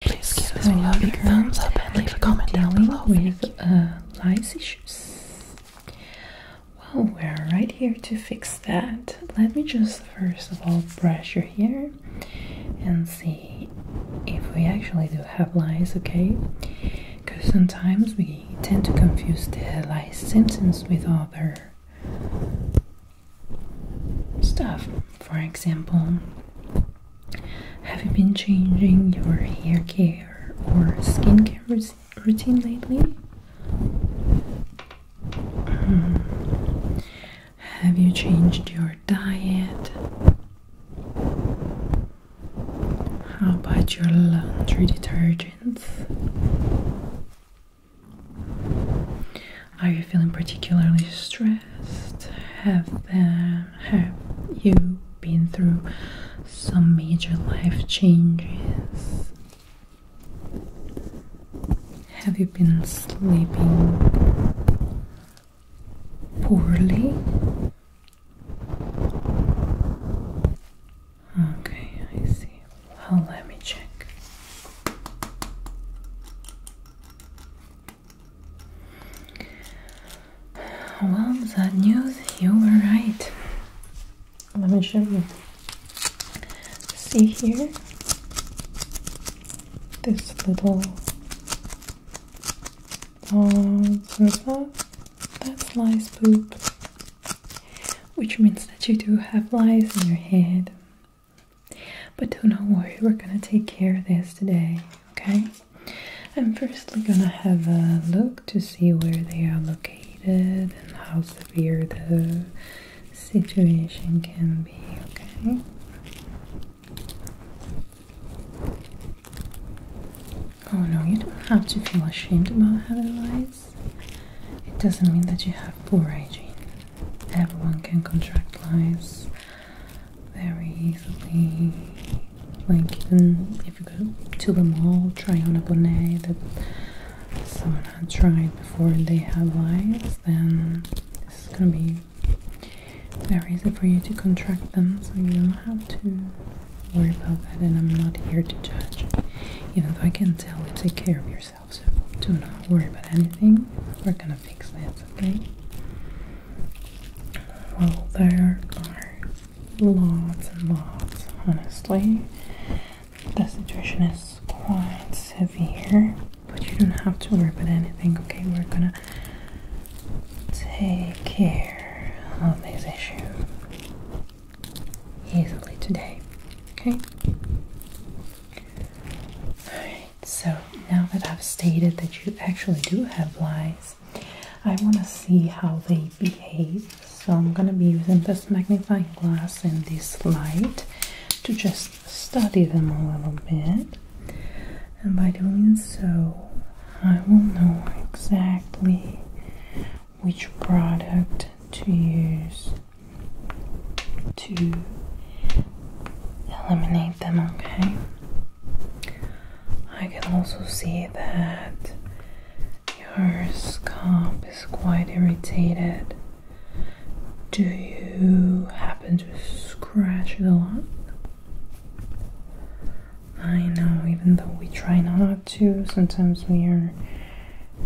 Please give so a big thumbs up and leave a comment down below. With uh, lice issues. Well, we're right here to fix that. Let me just first of all brush your hair and see if we actually do have lies, okay? Because sometimes we tend to confuse the lies symptoms with other stuff. For example, have you been changing your hair care or skincare routine lately? Hmm. Have you changed your diet? How about your laundry detergents? Are you feeling particularly stressed? have there have you been through some major life changes? Have you been sleeping poorly? Okay, I see. Well, let me check. Well, that news, you were right. Let me show you. See here? This little dots uh, and stuff. That's lice poop. Which means that you do have lies in your head. But do not worry, we're gonna take care of this today, okay? I'm firstly gonna have a look to see where they are located and how severe the situation can be, okay? Oh no, you don't have to feel ashamed about having lice. It doesn't mean that you have poor hygiene. Everyone can contract lice very easily. Like even if you go to the mall, try on a bonnet that someone had tried before they had lives, then it's gonna be very easy for you to contract them, so you don't have to worry about that. And I'm not here to judge, even though I can tell you take care of yourself. So do not worry about anything. We're gonna fix this, okay? Well, there are lots and lots, honestly. The situation is quite severe, but you don't have to worry about anything, okay? We're gonna take care of this issue easily today, okay? So now that I've stated that you actually do have flies, I want to see how they behave. So I'm going to be using this magnifying glass and this light to just study them a little bit. And by doing so, I will know exactly which product to use to eliminate them, okay? I can also see that your scalp is quite irritated. Do you happen to scratch it a lot? I know, even though we try not to, sometimes we are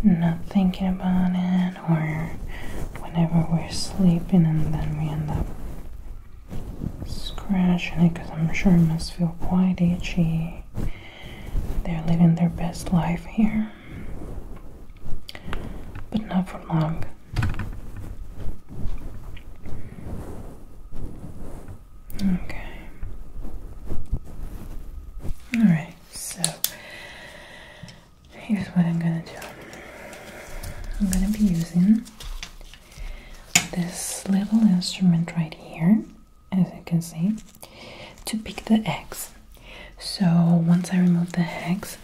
not thinking about it, or whenever we're sleeping, and then we end up scratching it because I'm sure it must feel quite itchy. They're living their best life here, but not for long. Okay. Alright, so here's what I'm gonna do I'm gonna be using this little instrument right here, as you can see, to pick the eggs. So once I remove the eggs,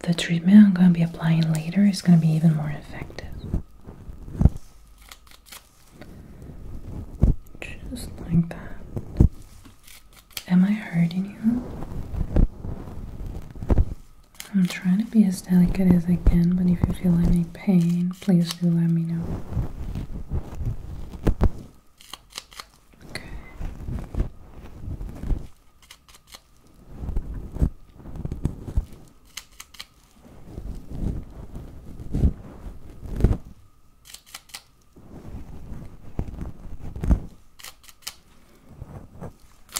the treatment I'm going to be applying later is going to be even more effective. Just like that. Am I hurting you? I'm trying to be as delicate as I can, but if you feel any pain, please do let me know. Okay.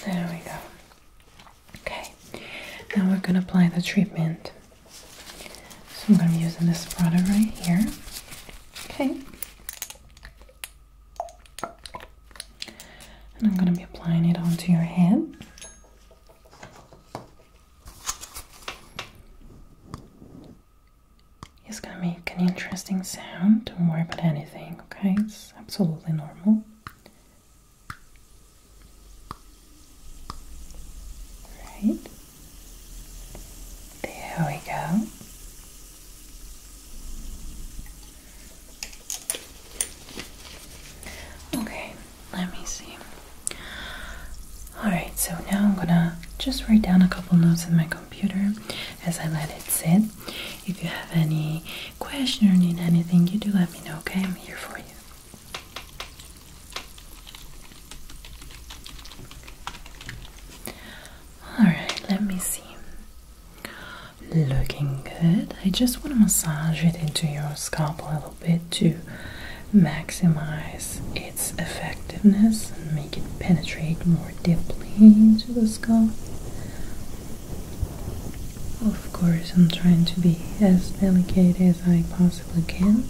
There we go. Okay, now we're going to apply the treatment. So I'm going to be using this product right here. Okay. And I'm going to be applying it onto your head. It's going to make an interesting sound. Don't worry about anything, okay? It's absolutely normal. Right. There we go. Okay, let me see. Alright, so now I'm gonna just write down a couple notes in my computer as I let it sit. If you have any questions or need anything, you do let me know, okay? I'm here for you. All right, let me see. Looking good. I just want to massage it into your scalp a little bit to maximize its effectiveness and make it penetrate more deeply into the scalp. Of course, I'm trying to be as delicate as I possibly can,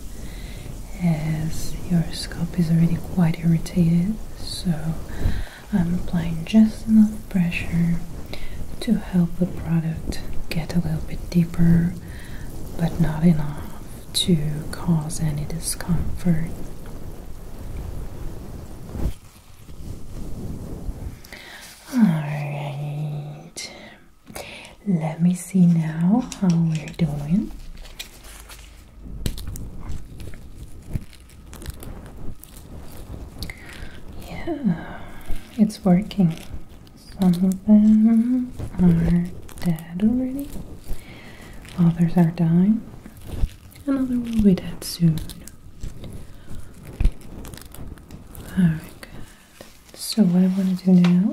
as your scalp is already quite irritated, so I'm applying just enough pressure to help the product get a little bit deeper, but not enough to cause any discomfort. Alright, let me see now how we're doing. Yeah, it's working. Some of them are dead already, others are dying, another will be dead soon. Very good. So what I want to do now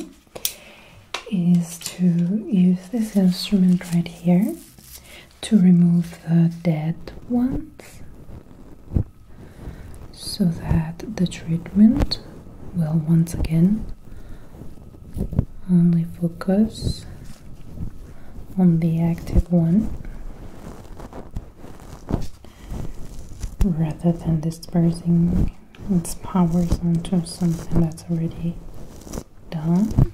is to use this instrument right here to remove the dead ones so that the treatment will once again only focus on the active one rather than dispersing its powers onto something that's already done.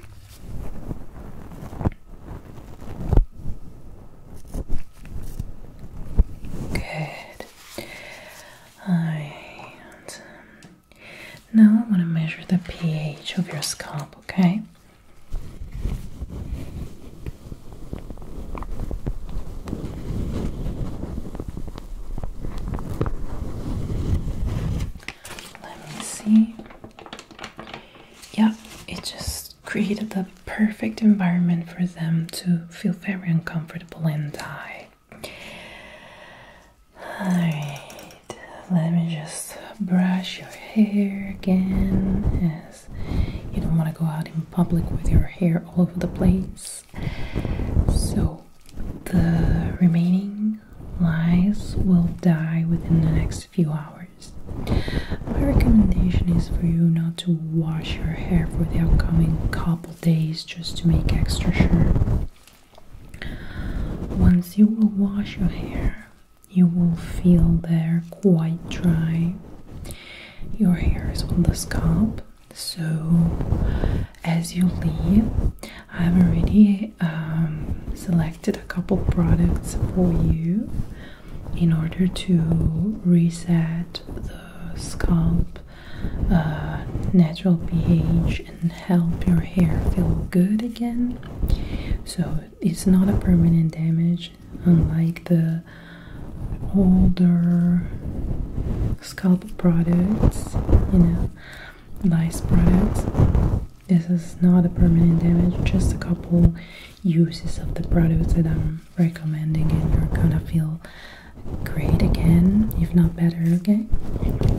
Good. Alright. Now I want to measure the pH of your scalp, okay? Let me see. Yeah, it just created the perfect environment for them to feel very uncomfortable and die. Alright, let me just brush your hair again as you don't want to go out in public with your hair all over the place. So the remaining lies will die within the next few hours. My recommendation is for you not to wash your hair for the upcoming couple days just to make extra sure. Once you will wash your hair, you will feel they're quite dry. Your hair is on the scalp, so, as you leave, I've already um, selected a couple products for you in order to reset the scalp uh, natural pH and help your hair feel good again. So, it's not a permanent damage, unlike the older scalp products, you know, nice products. This is not a permanent damage, just a couple uses of the products that I'm recommending, and you're gonna feel great again, if not better, okay?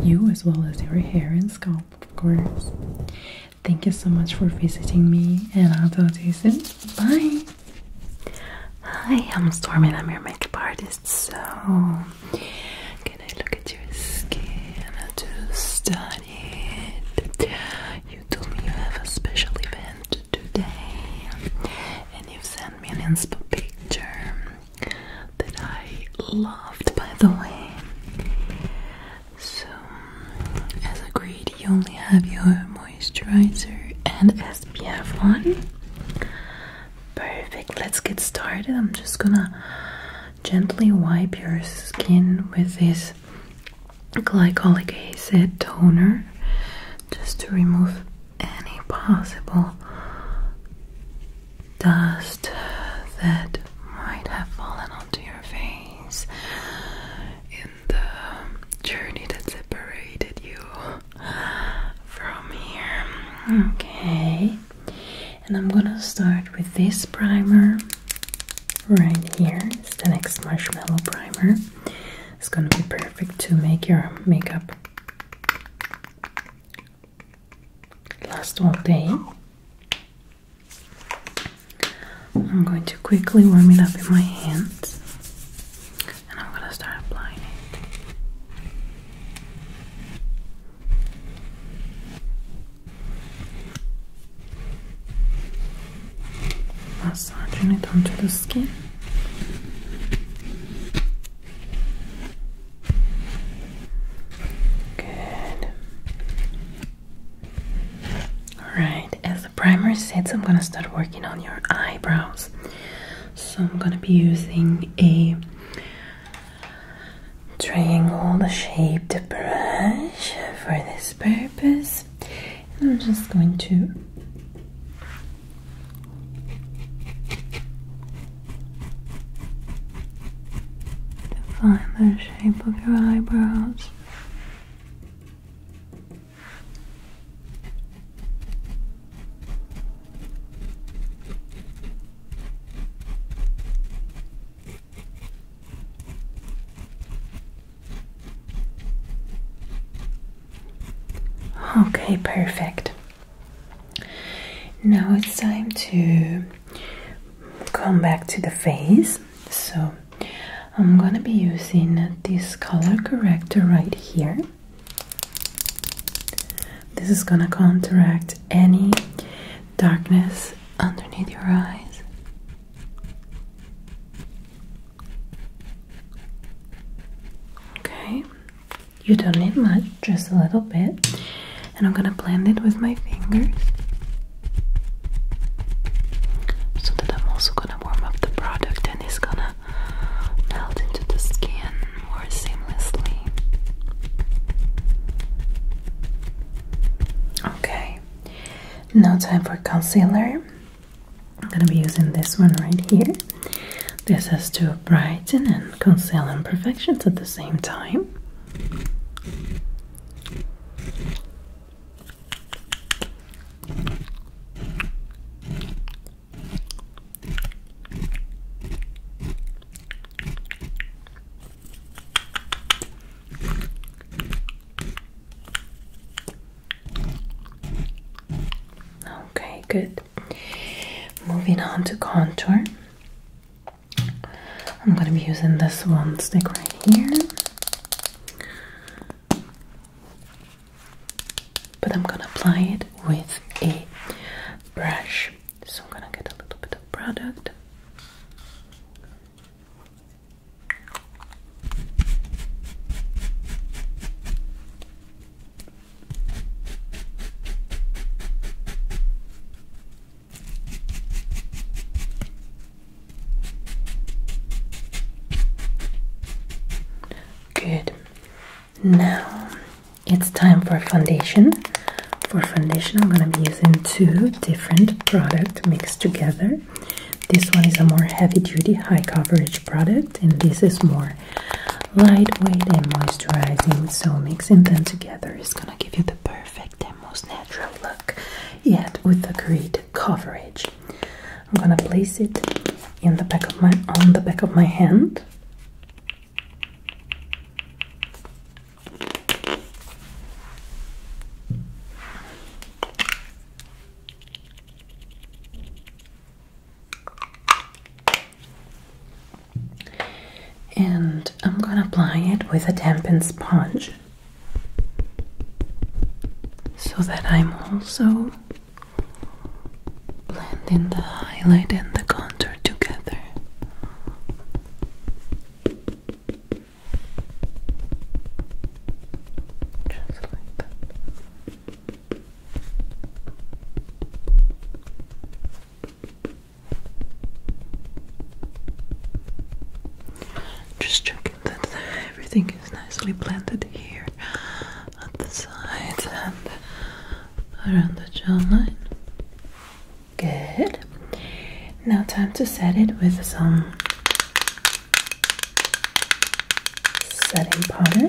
You as well as your hair and scalp, of course. Thank you so much for visiting me, and I'll talk to you soon. Bye! Hi, I'm Stormy and I'm your makeup artist. So, can I look at your skin to study it? You told me you have a special event today, and you've sent me an inspiring picture that I loved, by the way. So, as agreed, you only have your moisturizer and SPF one. Perfect, let's get started. I'm just gonna gently wipe your skin with this glycolic acid toner just to remove any possible dust that might have fallen onto your face in the journey that separated you from here. Okay, and I'm gonna start with this primer right here. It's the next marshmallow primer. It's gonna be perfect to make your makeup last all day. I'm going to quickly warm it up in my hands and I'm gonna start applying it. Massaging it onto the skin. Good. Alright, as the primer sets, I'm gonna start working on your eyebrows. So I'm gonna be using a triangle shaped brush for this purpose. And I'm just going to define the shape of your eyebrows. Okay, perfect. Now it's time to come back to the face. So I'm gonna be using this color corrector right here. This is gonna contract any darkness underneath your eyes. Okay, you don't need much, just a little bit, and I'm gonna blend it with my fingers so that I'm also gonna warm up the product and it's gonna melt into the skin more seamlessly. Okay, now time for concealer. I'm gonna be using this one right here. This has to brighten and conceal imperfections at the same time. Okay, good. Moving on to contour. I'm going to be using this one stick right here but I'm gonna apply it with a brush. So I'm gonna get a little bit of product. Good. Now it's time for foundation. For foundation, I'm going to be using two different products mixed together. This one is a more heavy duty, high coverage product, and this is more lightweight and moisturizing. So, mixing them together is going to give you the perfect and most natural look, yet with the great coverage. I'm going to place it in the back of my on the back of my hand and I'm going to apply it with a dampened sponge so that I'm also blending the highlight and the contour together. Just like that. Just checking that everything is nicely blended here at the sides and around the jawline. Good. Now, time to set it with some setting powder.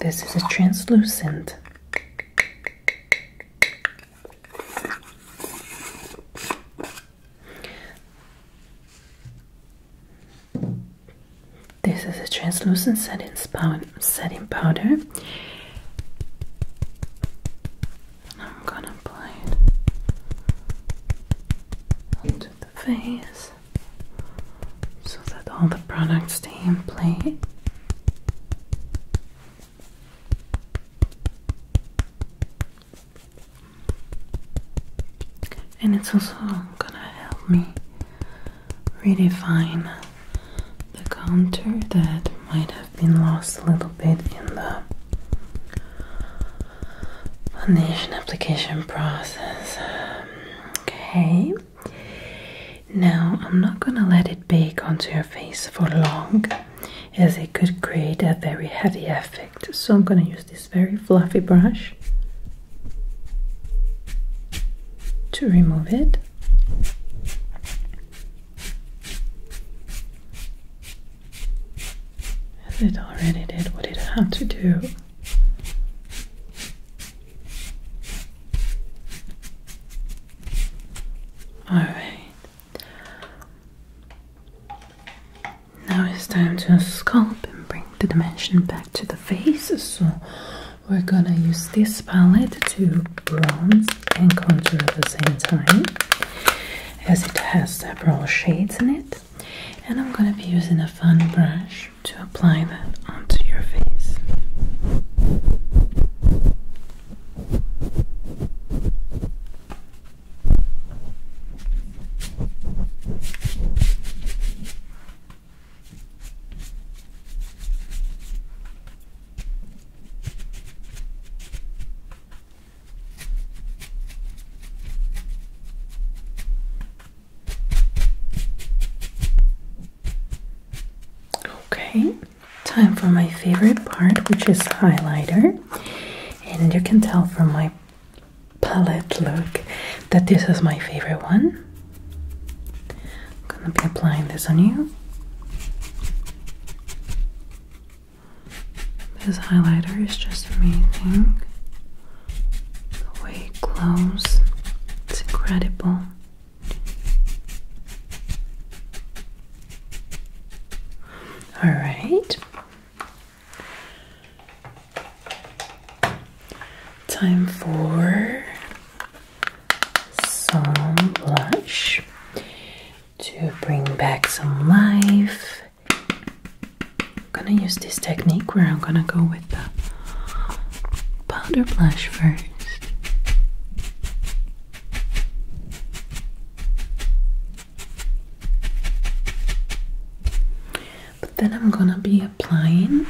This is a translucent. This is a translucent setting, powder. I'm gonna apply it onto the face so that all the products stay in place and it's also gonna help me redefine the contour that might have been lost a little bit in the foundation application process. Okay, now I'm not gonna let it bake onto your face for long as it could create a very heavy effect. So I'm gonna use this very fluffy brush to remove it. it already did what it had to do. All right. Now it's time to sculpt and bring the dimension back to the face. So we're gonna use this palette to bronze and contour at the same time, as it has several shades in it. And I'm gonna be using a fun brush to apply that onto your face. Okay, time for my favorite part, which is highlighter. And you can tell from my palette look that this is my favorite one. I'm gonna be applying this on you. This highlighter is just amazing. The way it glows, it's incredible. Alright, Time for some blush to bring back some life. I'm gonna use this technique where I'm gonna go with the powder blush first but then I'm gonna be applying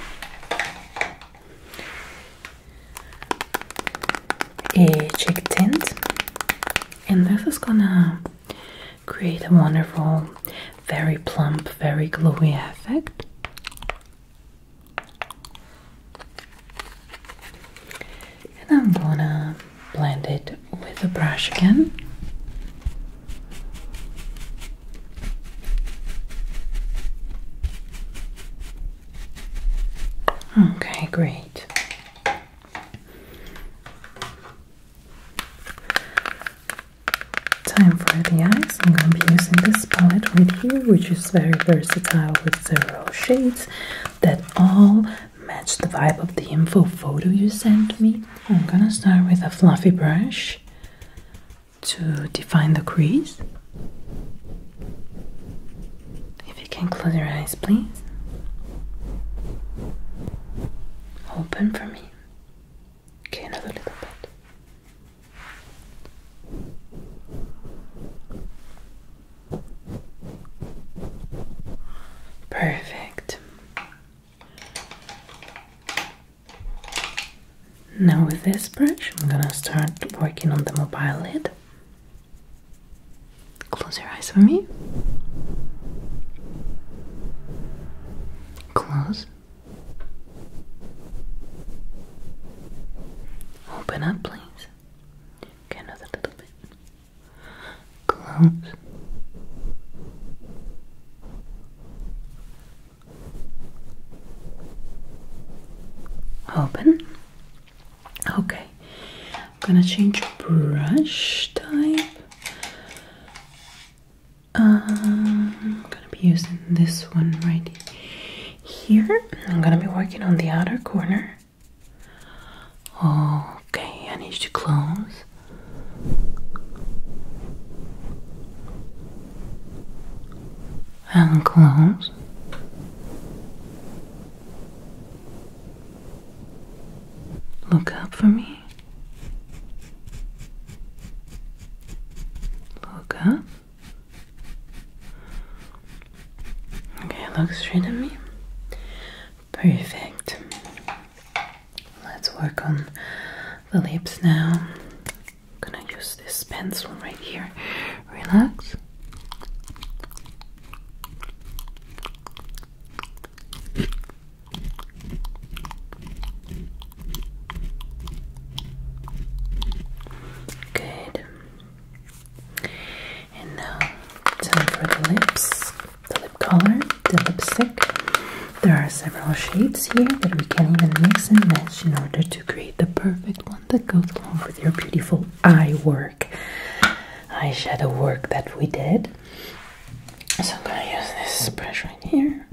a cheek tint, and this is gonna create a wonderful, very plump, very glowy effect. And I'm gonna blend it with a brush again. Okay, great. Time for the eyes. I'm going to be using this palette right here, which is very versatile with several shades that all match the vibe of the info photo you sent me. I'm gonna start with a fluffy brush to define the crease. If you can close your eyes, please. Open for me. Okay, another little bit. Perfect. Now with this brush, I'm gonna start working on the mobile lid. Close your eyes for me. Close. Open up, please. Okay, another little bit. Close. Open. Okay, I'm gonna change brush type. Um, I'm gonna be using this one right here. I'm gonna be working on the outer corner. Okay, I need to close and close. Look up for me. Look up. Okay, look straight at me. Perfect. Let's work on the lips now. I'm gonna use this pencil right here. Relax. Good. And now, time for the lips, the lip color, the lipstick. There are several shades here that we can even mix and match in order to create the perfect one that goes along with your beautiful eye work, eyeshadow work that we did. So I'm gonna use this brush right here.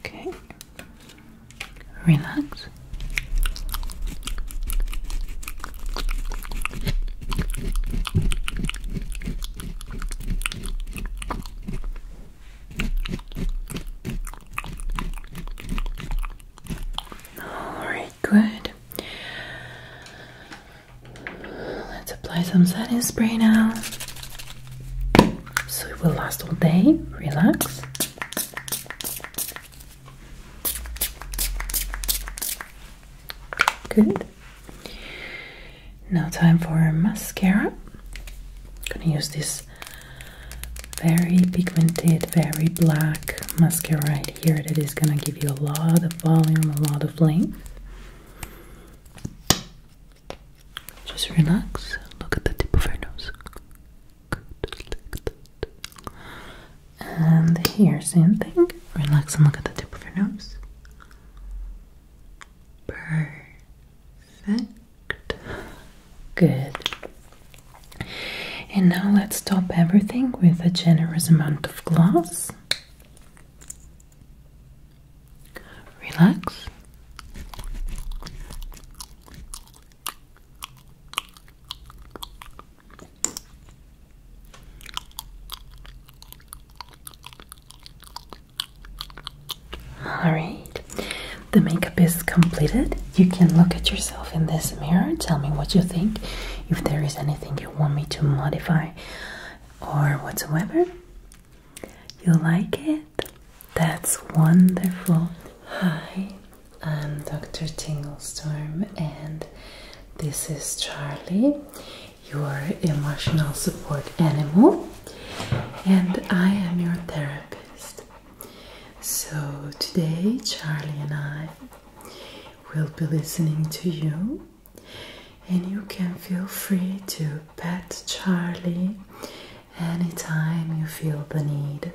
Okay, relax. Alright, good. Let's apply some setting spray now. So it will last all day. Relax. Good. Now time for mascara. I'm gonna use this very pigmented, very black mascara right here that is gonna give you a lot of volume, a lot of length. Just relax, look at the tip of her nose. And here, same thing. Relax and look at the tip of her nose. Perfect. Perfect. Good. And now let's top everything with a generous amount of gloss. Relax. All right, the makeup is completed. You can look at yourself in this mirror, tell me what you think, if there is anything you want me to modify or whatsoever. You like it? That's wonderful. Hi, I'm Dr. Tinglestorm, and this is Charlie, your emotional support animal and I am your therapist. So, today, Charlie and I will be listening to you, and you can feel free to pet Charlie anytime you feel the need.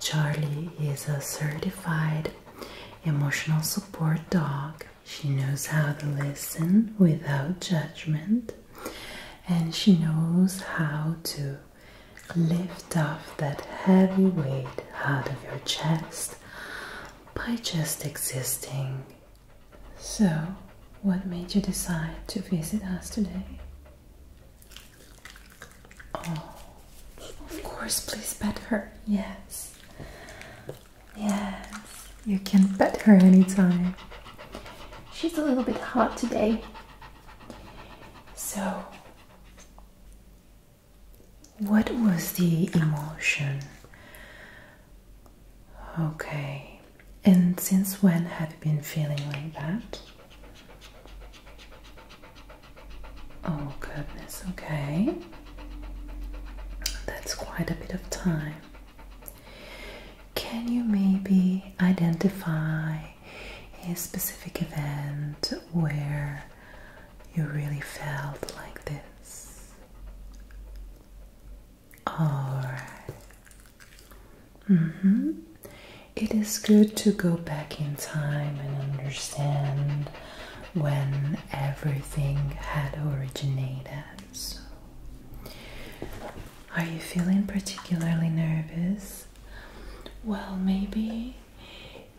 Charlie is a certified emotional support dog. She knows how to listen without judgment and she knows how to lift off that heavy weight out of your chest by just existing. So, what made you decide to visit us today? Oh, of course, please pet her. Yes, yes, you can bet her anytime. She's a little bit hot today. So, what was the emotion? Okay, and since when have you been feeling like that? Oh, goodness, okay. That's quite a bit of time. Can you maybe identify a specific event where you really felt like this? Alright. Mm-hmm, is good to go back in time and understand when everything had originated. Are you feeling particularly nervous? Well, maybe,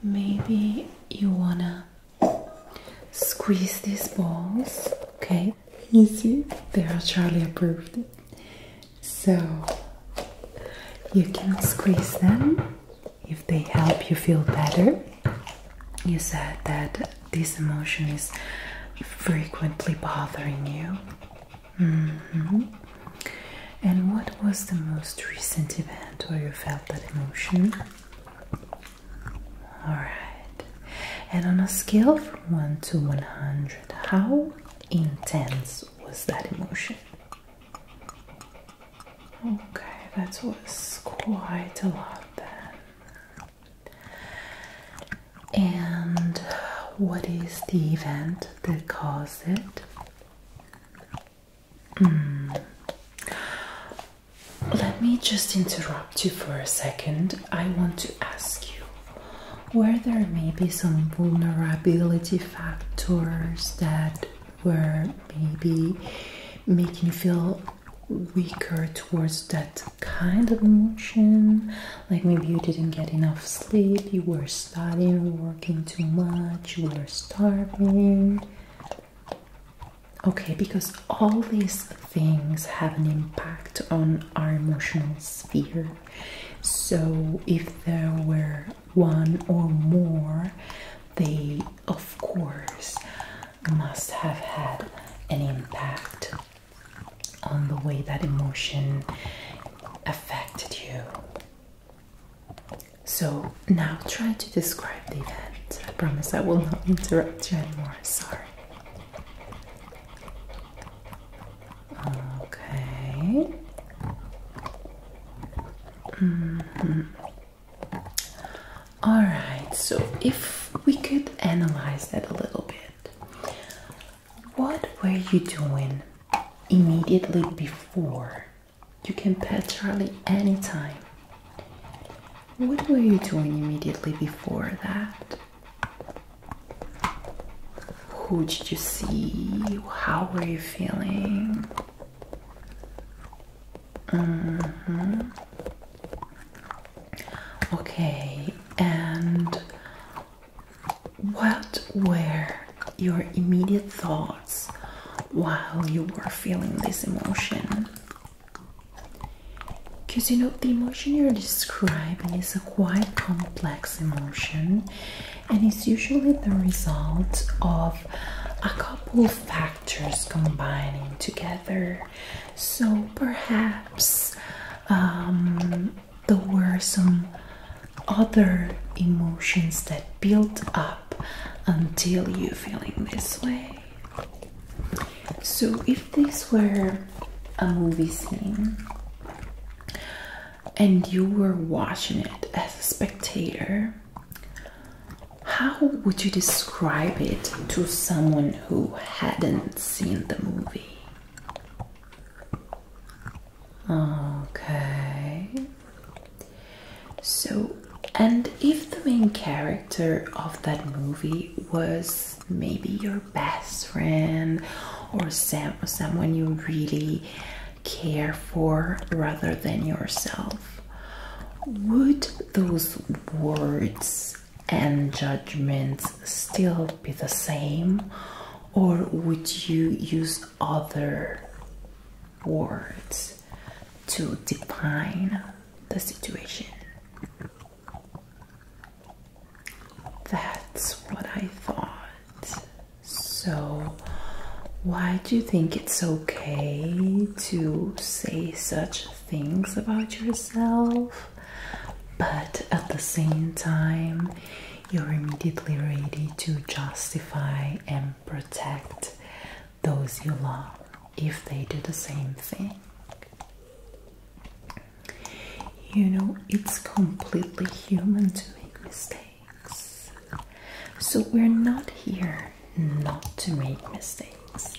maybe you wanna squeeze these balls, okay? Easy. see, they are Charlie approved. So you can squeeze them if they help you feel better. You said that this emotion is frequently bothering you. Mm-hmm. And what was the most recent event where you felt that emotion? All right. And on a scale from 1 to 100, how intense was that emotion? Okay, that was quite a lot then and what is the event that caused it? Hmm. Let me just interrupt you for a second. I want to ask you where there may be some vulnerability factors that were maybe making you feel weaker towards that kind of emotion, like maybe you didn't get enough sleep, you were studying, working too much, you were starving. Okay, because all these things have an impact on our emotional sphere. So, if there were one or more, they of course must have had an impact on the way that emotion affected you. So now try to describe the event. I promise I will not interrupt you anymore. Sorry. Okay. Mm-hmm. All right. So if we could analyze that a little bit. What were you doing immediately before? You can pet Charlie anytime. What were you doing immediately before that? Who did you see? How were you feeling? Mm -hmm. Okay, and what were your immediate thoughts while you were feeling this emotion? Because you know, the emotion you're describing is a quite complex emotion and it's usually the result of a couple of factors combining together. So perhaps um, there were some other emotions that built up until you feeling this way. So, if this were a movie scene and you were watching it as a spectator, how would you describe it to someone who hadn't seen the movie? Okay. So, and if the main character of that movie was maybe your best friend or some, someone you really care for rather than yourself, would those words and judgments still be the same? or would you use other words to define the situation? That's what I thought. So, why do you think it's okay to say such things about yourself, but at the same time, you're immediately ready to justify and protect those you love if they do the same thing. You know, it's completely human to make mistakes. So, we're not here not to make mistakes.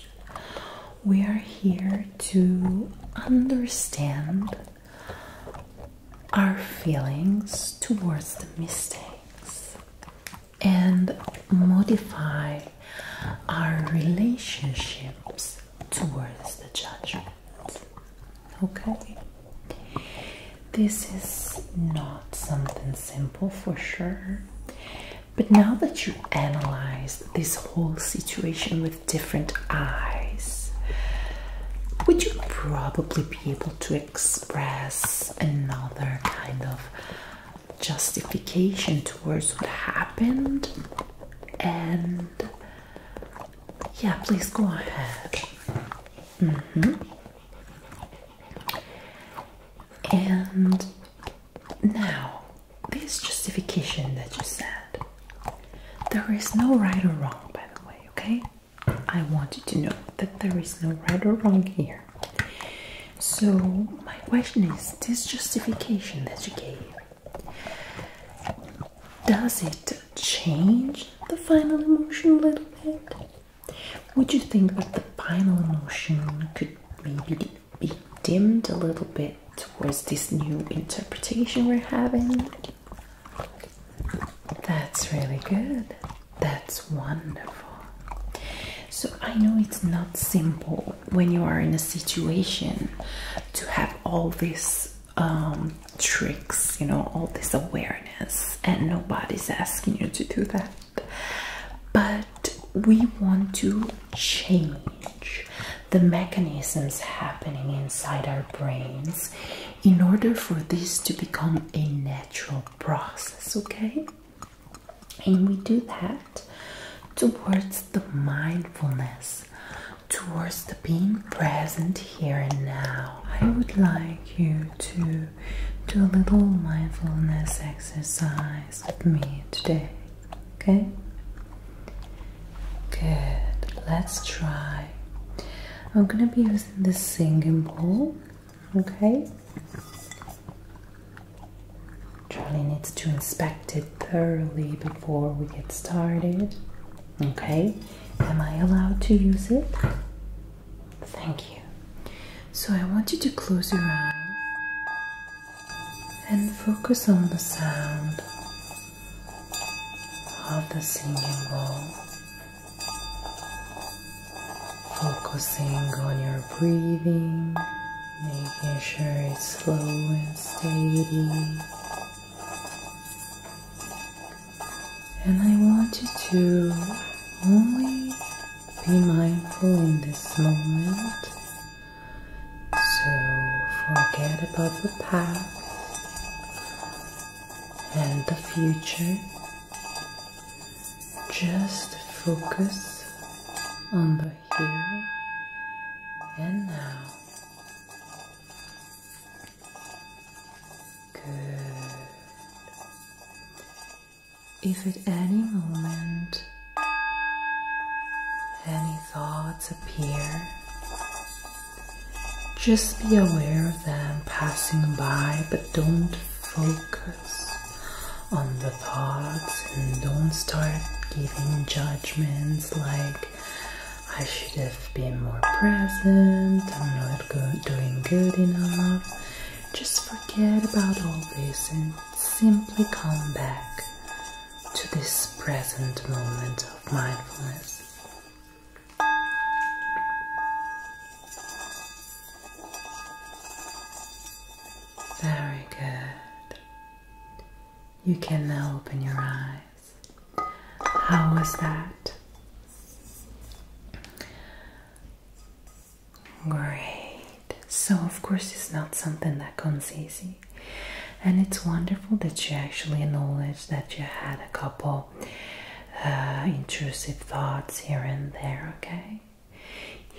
We are here to understand our feelings towards the mistakes and modify our relationships towards the judgment. Okay? This is not something simple for sure. But now that you analyze this whole situation with different eyes, would you probably be able to express another kind of justification towards what happened? And yeah, please go ahead. Mm -hmm. And now, this justification that you said, there is no right or wrong, by the way, okay? I want you to know that there is no right or wrong here. So, my question is this justification that you gave, does it change the final emotion a little bit? Would you think that the final emotion could maybe be dimmed a little bit towards this new interpretation we're having? That's really good. That's wonderful. So, I know it's not simple when you are in a situation to have all these um, tricks, you know, all this awareness, and nobody's asking you to do that. But we want to change the mechanisms happening inside our brains in order for this to become a natural process, okay? And we do that towards the mindfulness, towards the being present here and now. I would like you to do a little mindfulness exercise with me today, okay? Good, let's try. I'm gonna be using the singing bowl. Okay. Charlie needs to inspect it thoroughly before we get started. Okay. Am I allowed to use it? Thank you. So I want you to close your eyes and focus on the sound of the singing bowl. Focusing on your breathing, making sure it's slow and steady. And I want you to only be mindful in this moment. So forget about the past and the future. Just focus on the here and now. Good. If at any moment any thoughts appear, just be aware of them passing by, but don't focus on the thoughts and don't start giving judgments like I should have been more present, I'm not doing good enough. Just forget about all this and simply come back to this present moment of mindfulness. Very good. You can now open your eyes. How was that? Great. So, of course, it's not something that comes easy. And it's wonderful that you actually acknowledge that you had a couple uh, intrusive thoughts here and there, okay?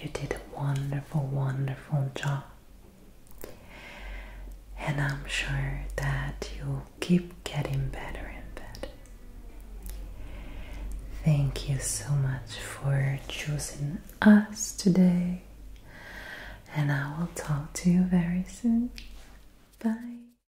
You did a wonderful, wonderful job. And I'm sure that you'll keep getting better and better. Thank you so much for choosing us today. And I will talk to you very soon. Bye.